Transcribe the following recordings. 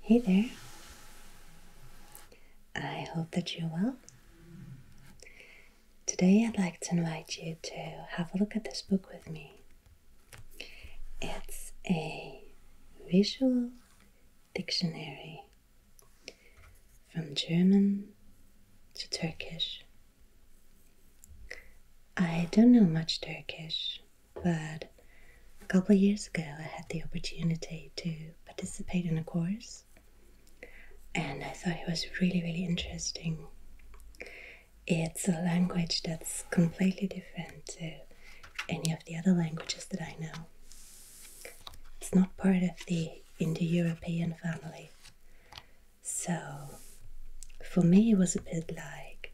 Hey there. I hope that you're well. Today I'd like to invite you to have a look at this book with me. It's a visual dictionary from German to Turkish. I don't know much Turkish, but a couple of years ago I had the opportunity to participate in a course and I thought it was really, really interesting. It's a language that's completely different to any of the other languages that I know. It's not part of the Indo European family. So for me, it was a bit like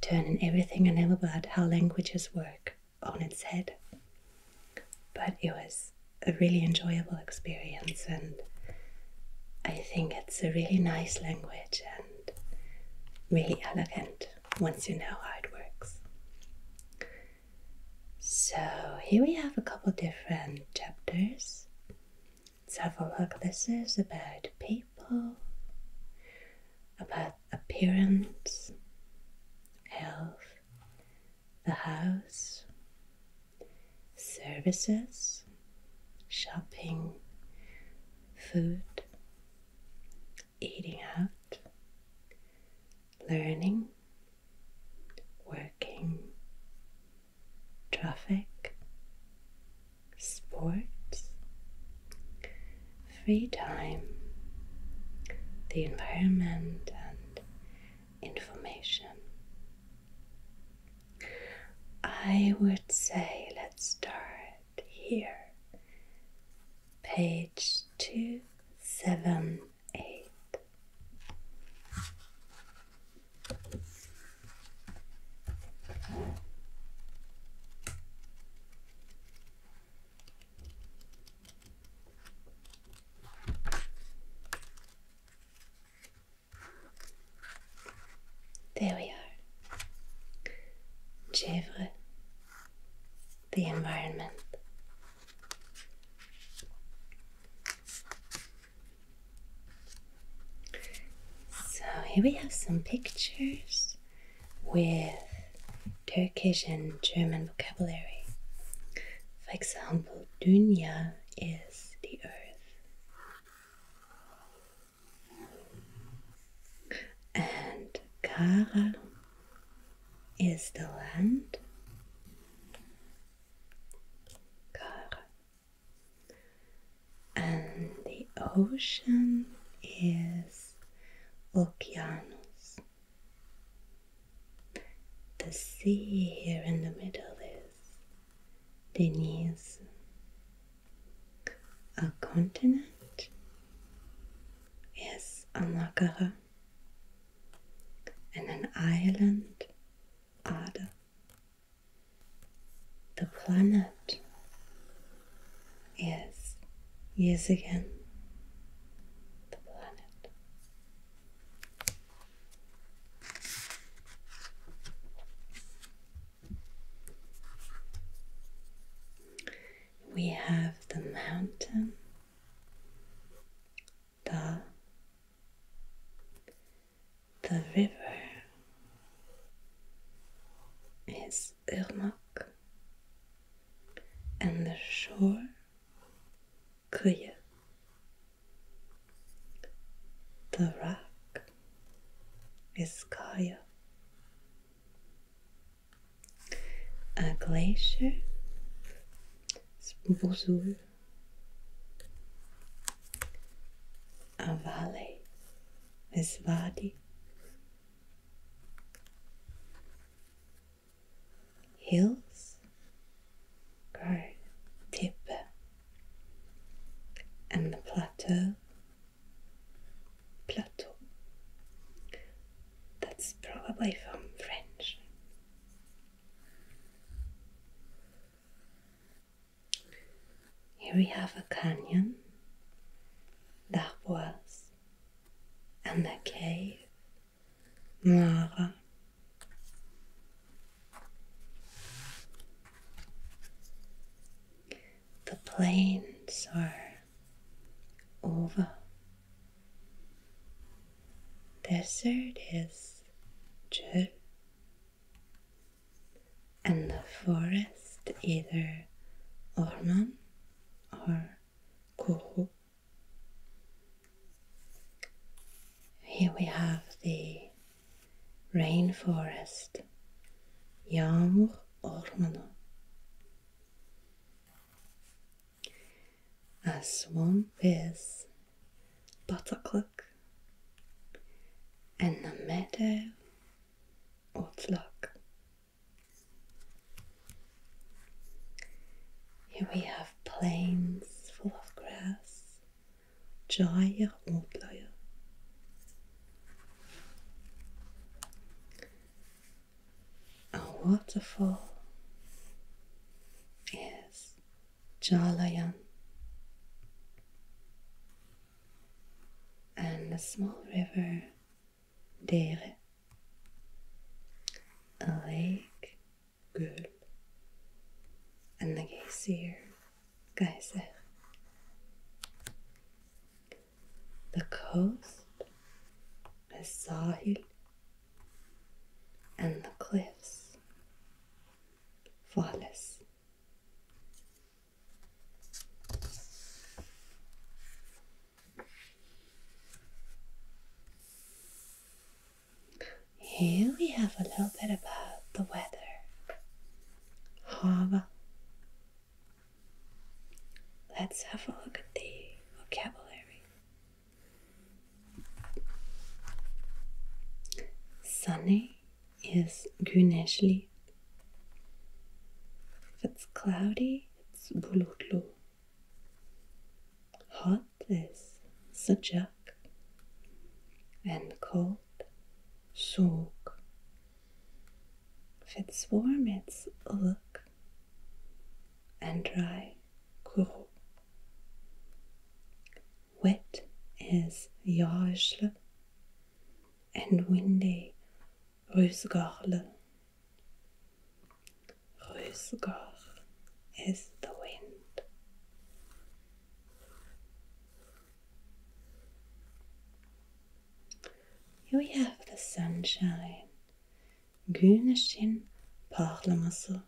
turning everything I know about how languages work on its head. But it was a really enjoyable experience, and I think it's a really nice language and really elegant once you know how it works. So, here we have a couple different chapters. Let's have a look. This is about people, about appearance, health, the house, services, shopping, food, eating out, learning, working, traffic, sports, free time, the environment, and information. I would say let's start here. Page 278. There we are. Chèvre, the environment. So here we have some pictures with Turkish and German vocabulary. For example, Dünya is the earth, and Kara is the land. Kara. And the ocean is endless The sea here in the middle is Denise, a continent is Amakara and an island Ada. The planet Yes. yes again the planet. We have the mountain, the the river is is Irmak and the shore Kuyu. The rock is Kaya. A glacier is Buzul. A valley is Wadi hills go, deeper and the plateau plateau that's probably from French here we have a canyon that was and the cave, Mara. The plains are over. Desert is dry. and the forest either or Orman or Kohu. Here we have the rainforest, Yağmur Ormanı. A swamp is butterclock and a meadow or flock. Here we have plains full of grass, çay otları. A waterfall is Jalayan, and a small river dere elég gül and the ír geiser. The coast, the sahil, and the cliffs, falls. Here we have a little bit about the weather. Hava. Let's have a look at the vocabulary. Sunny is güneşli. If it's cloudy, it's bulutlu. Hot is sıcak and cold soğuk. If it's warm it's ılık and dry kuru. Wet is yağışlı and windy rüzgarlı. Rösgar is the wind. Here we have the sunshine, güneşin parlaması.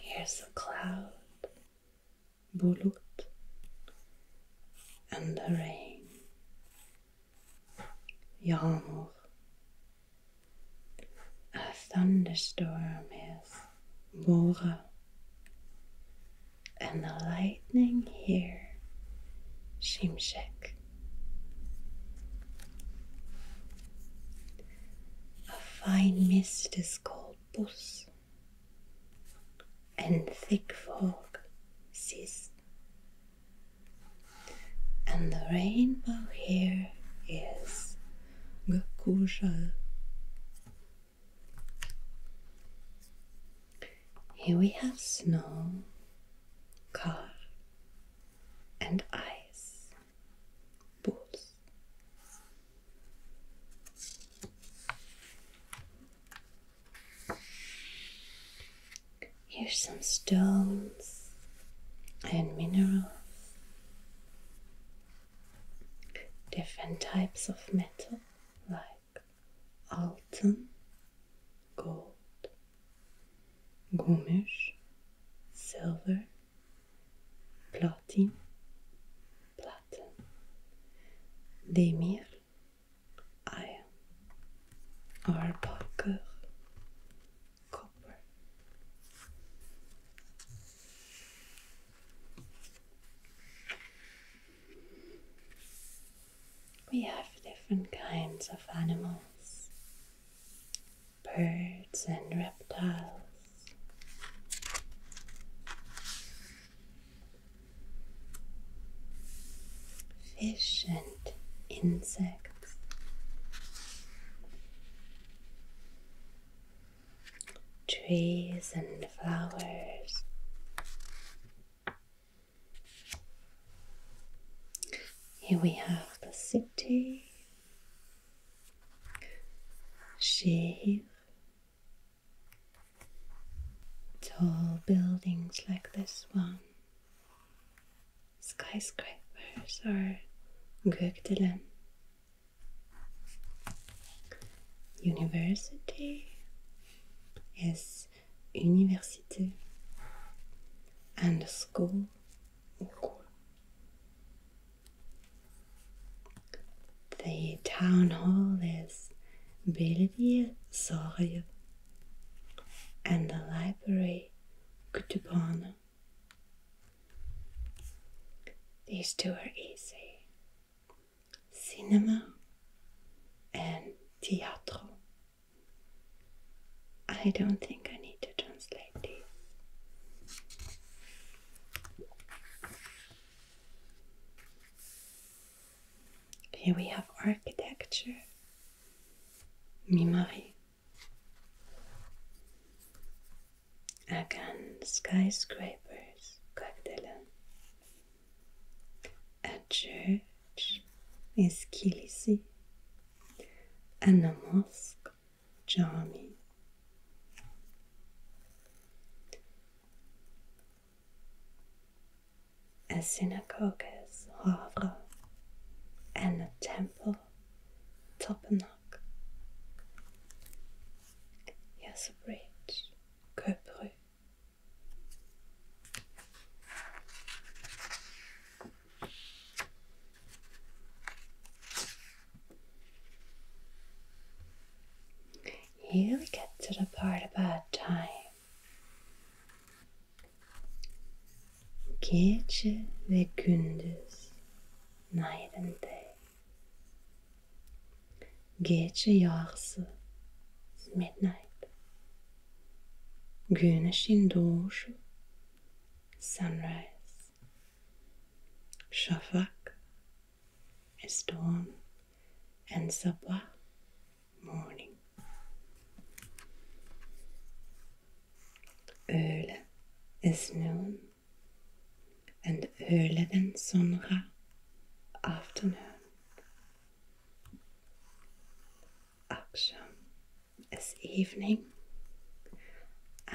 Here's the cloud bulut and the rain, yağmur. A thunderstorm is bora, and the lightning here, şimşek. A fine mist is called bus and thick fog ceased, and the rainbow here is gakusha. Here we have snow, car, and ice, balls. Here's some stones and minerals, different types of metal like alten, gold, gümüş, silver, platin, platen, demir, iron, or copper. We have different kinds of animals, birds and reptiles. Fish and insects. Trees and flowers. Here we have the city, Shir Tall buildings like this one, skyscrapers or Gökdelen, university is Université, and school, school the town hall is Belediye Sarayı and the library Kütüphane. These two are easy. Cinema and teatro. I don't think I need to translate these. Here we have architecture, mimari, again skyscrapers, Kagdelen. A church is and a mosque, Jami, a synagogue is Havre, and a temple, Topenhoek. Here's a bridge, Köprü. Here we get to the part about time. Gece the gündüz, night and day. Gece yarısı is midnight. Güneşin doğuşu, sunrise. Şafak is dawn and Sabwa morning. Öğle is noon and öğleden sonra afternoon. Action is evening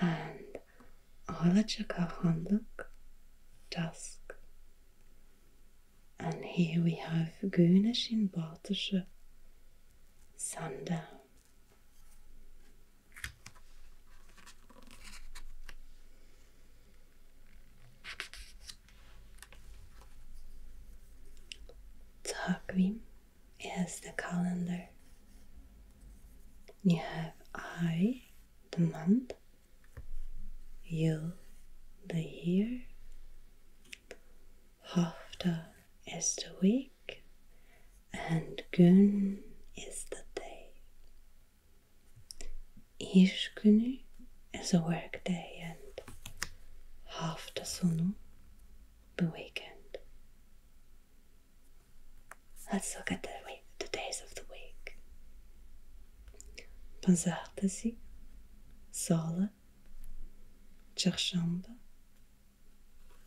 and Alaçakahanlık, dusk. And here we have Güneşin batışı, sundown. Takvim is the calendar. You have I, the month, you the year, Hafta is the week, and gün is the day. İş günü is a work day and hafta sonu the weekend. Let's look at the, days of the week. Pazartesi, Salı, Çarşamba,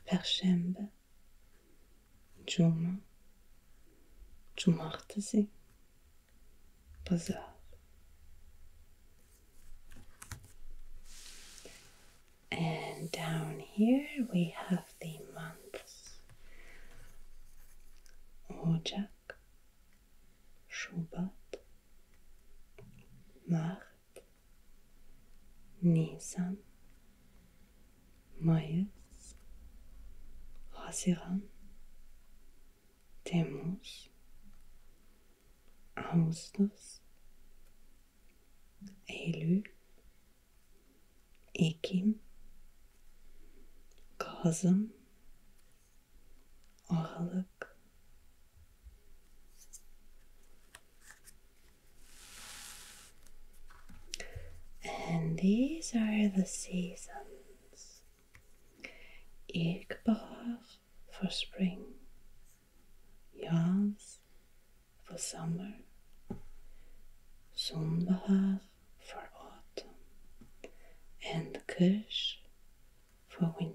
Perşembe, Cuma, Cumartesi, Pazar. And down here we have the month. OJAK, SHUBAT, Mart, Nisan, Mayıs, Haziran, TEMUS, Ağustos, Eylül, Ekim, Kazım, Aralık, and these are the seasons. İlkbahar for spring, yaz for summer, sonbahar for autumn and kush for winter.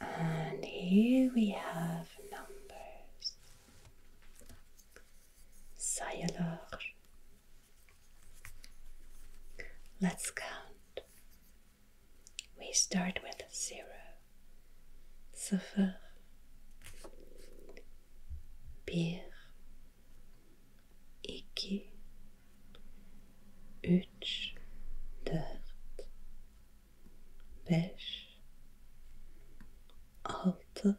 And here we have numbers. Sayalor Let's count. We start with zero. Sıfır. Bir. İki. Üç. Dört. Beş. Altı.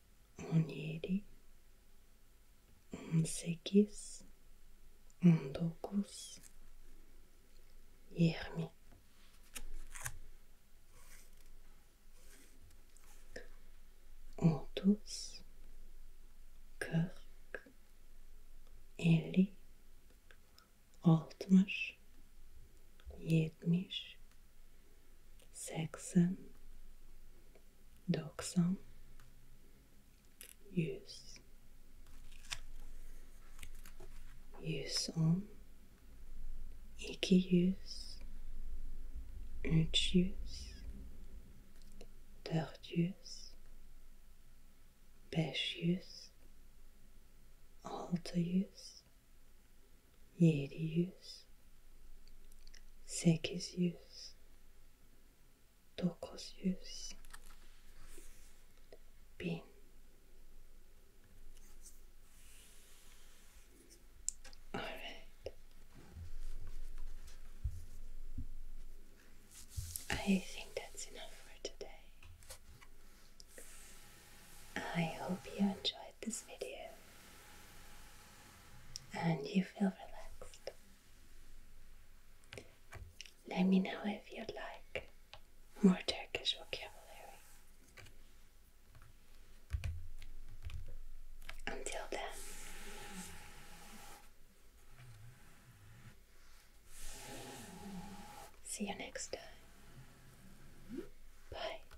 on yedi, on sekiz, on dokuz, yirmi. Otuz, kırk, elli, altmış, yetmiş, seksen, doksan, yüz, yüz on, iki yüz, üç yüz, dört Seki's use, Toko's use, Bin. All right. I think that's enough for today. I hope you enjoyed this video and you feel relaxed. Let me know if you'd like more Turkish vocabulary. Until then. See you next time. Bye.